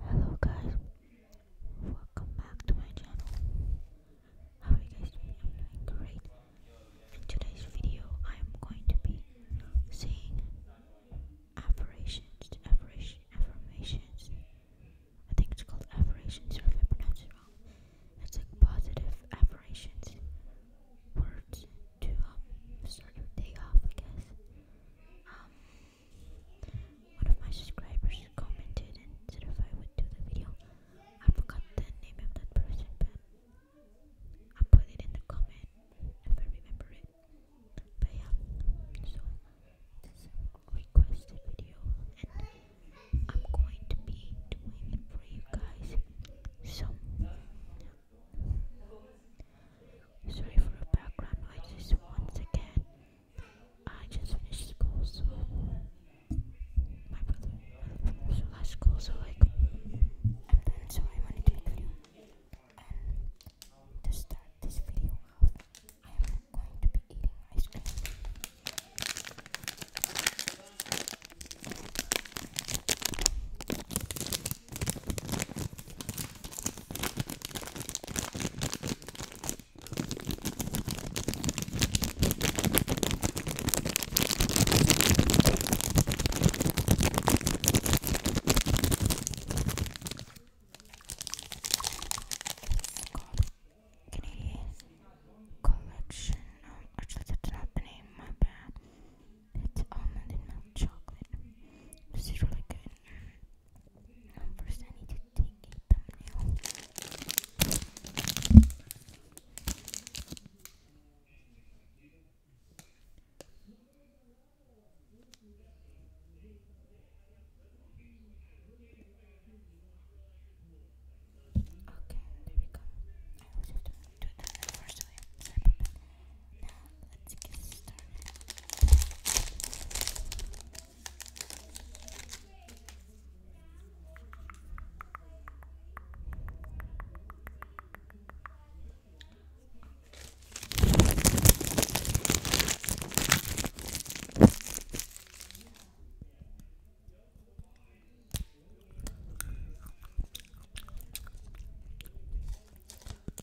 Hello guys, welcome back to my channel. How are you guys doing? I'm doing great. In today's video, I am going to be saying affirmations, affirmations. I think it's called affirmations, or if I pronounce it wrong, it's like positive affirmations. Words to um, start your day off, I guess. Um, one of my subscribers commented and said if I would do the video. I forgot the name of that person, but i put it in the comment if I remember it. But yeah, so this requested video, and I'm going to be doing it for you guys. So Sorry for the background noises once again. I just finished school, so my brother, school, so like I'm done. So I wanted to make a video, to start this video I am going to be eating ice cream. Collection. Um, actually, that's not the name. My bad. It's almond and chocolate. This is really good. Um, first, I need to take a thumbnail. Okay, there we go do that the first way. Sorry about that. Now, let's get started.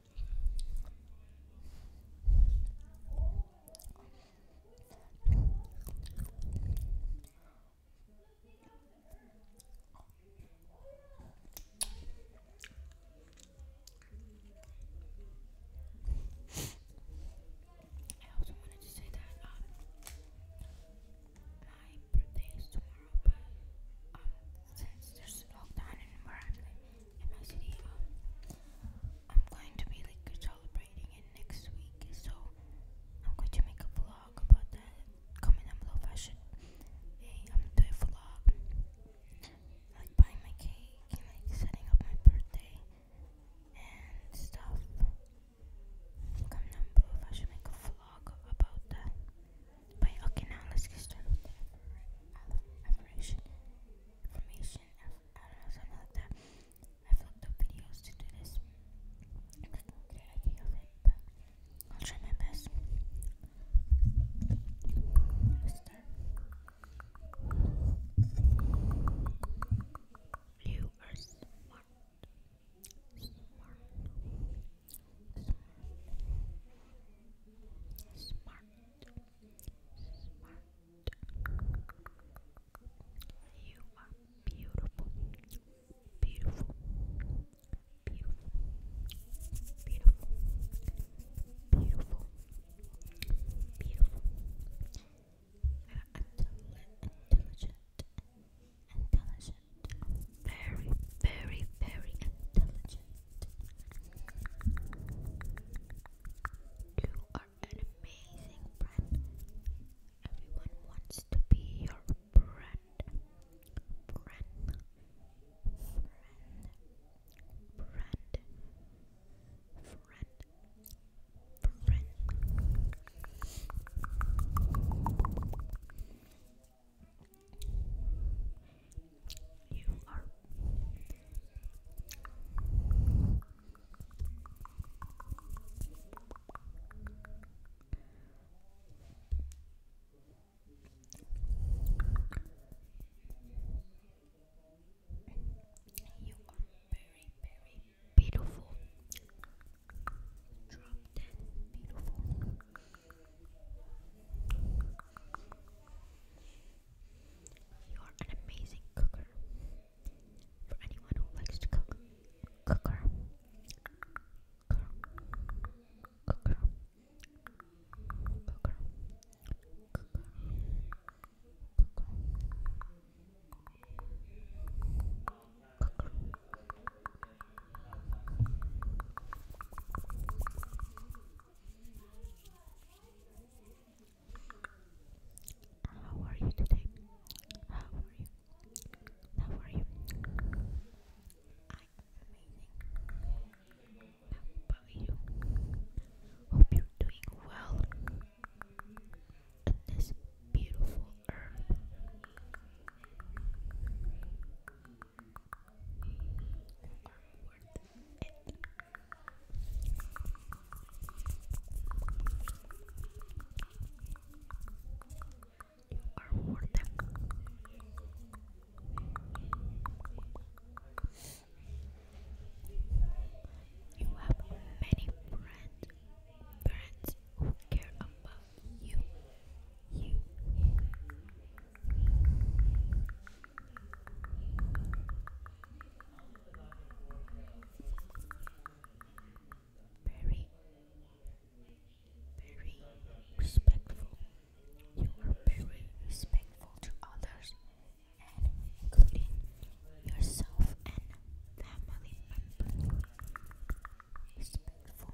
I also wanted to say that um, my birthday is tomorrow, but um, since there's lockdown and where I'm and actually, um, I'm going to be like celebrating it next week, so I'm going to make a vlog about that. Comment down below I should. Hey, I'm going a vlog, like buying my cake and like setting up my birthday and stuff. Comment down below I should make a vlog about that. okay, now let's get started with the ever information question of, uh, something like that. I've looked up videos to do this. I not get an idea of but I'll try my best. You are smart. Smart. Smart. Smart smart. You are beautiful, beautiful, beautiful, beautiful, beautiful, beautiful. You are intelligent, intelligent, intelligent, very, very, very intelligent. You are an amazing friend. Everyone wants to be your friend. Friend. Friend. Friend. Friend. Friend. You are you beautiful. beautiful. You are an amazing cooker. For anyone who likes to cook, cooker, cooker, cooker, cooker, cooker, cooker, cooker. How are you today? How are you? How are you? I'm amazing. How about you? Hope you're doing well on this beautiful earth are worth it. You have many friends, friends who care about You. You. Very, very respectful. You are very respectful to others and including yourself and family members. Respectful. Respectful.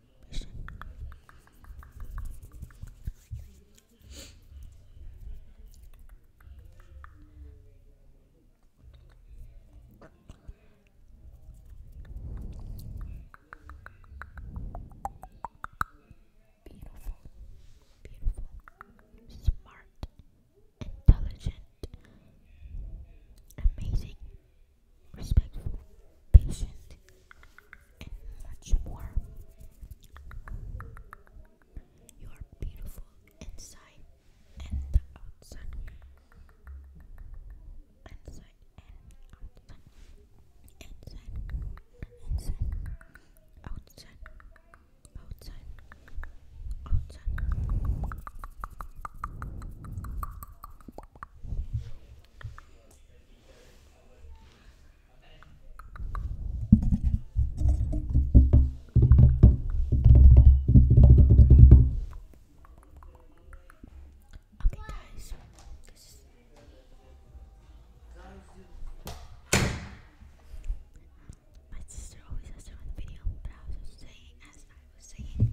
Beautiful, beautiful, smart, intelligent, amazing, respectful, patient, and much more. You are beautiful inside and the outside. Inside outside. outside, outside, outside. Okay, guys, this is my sister always has her own video, but I was saying, as I was saying,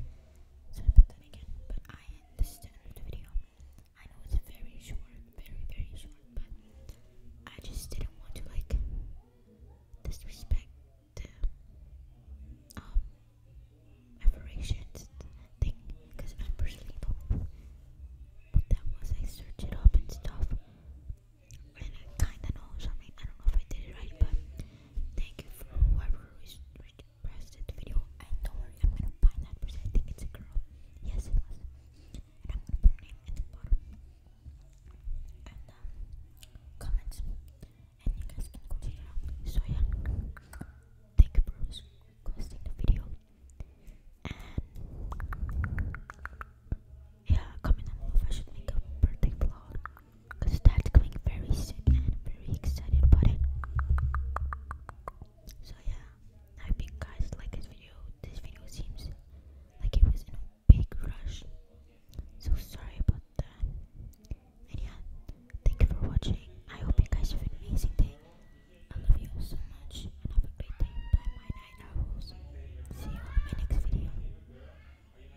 so I put that again, but I this is the end of the video. I know it's very short, very very short, but I just didn't want to like disrespect the operations um, thing because I personally don't what that I searched it up and stuff, and I kinda know. So I don't know if I did it right, but Thank you for whoever is requested the video. don't worry, I'm gonna find that person. I think it's a girl. Yes, it was. And the um, comments. And you guys can go check it So yeah, thank you for requesting the video. yeah, comment on if I should make a birthday vlog because that's coming very soon and i very excited about it. So yeah, I hope you guys like this video. This video seems like it was in a big rush. So sorry about that. And yeah, thank you for watching. I hope you guys have an amazing day. I love you so much have a great day. Bye my night owls. See you in my next video.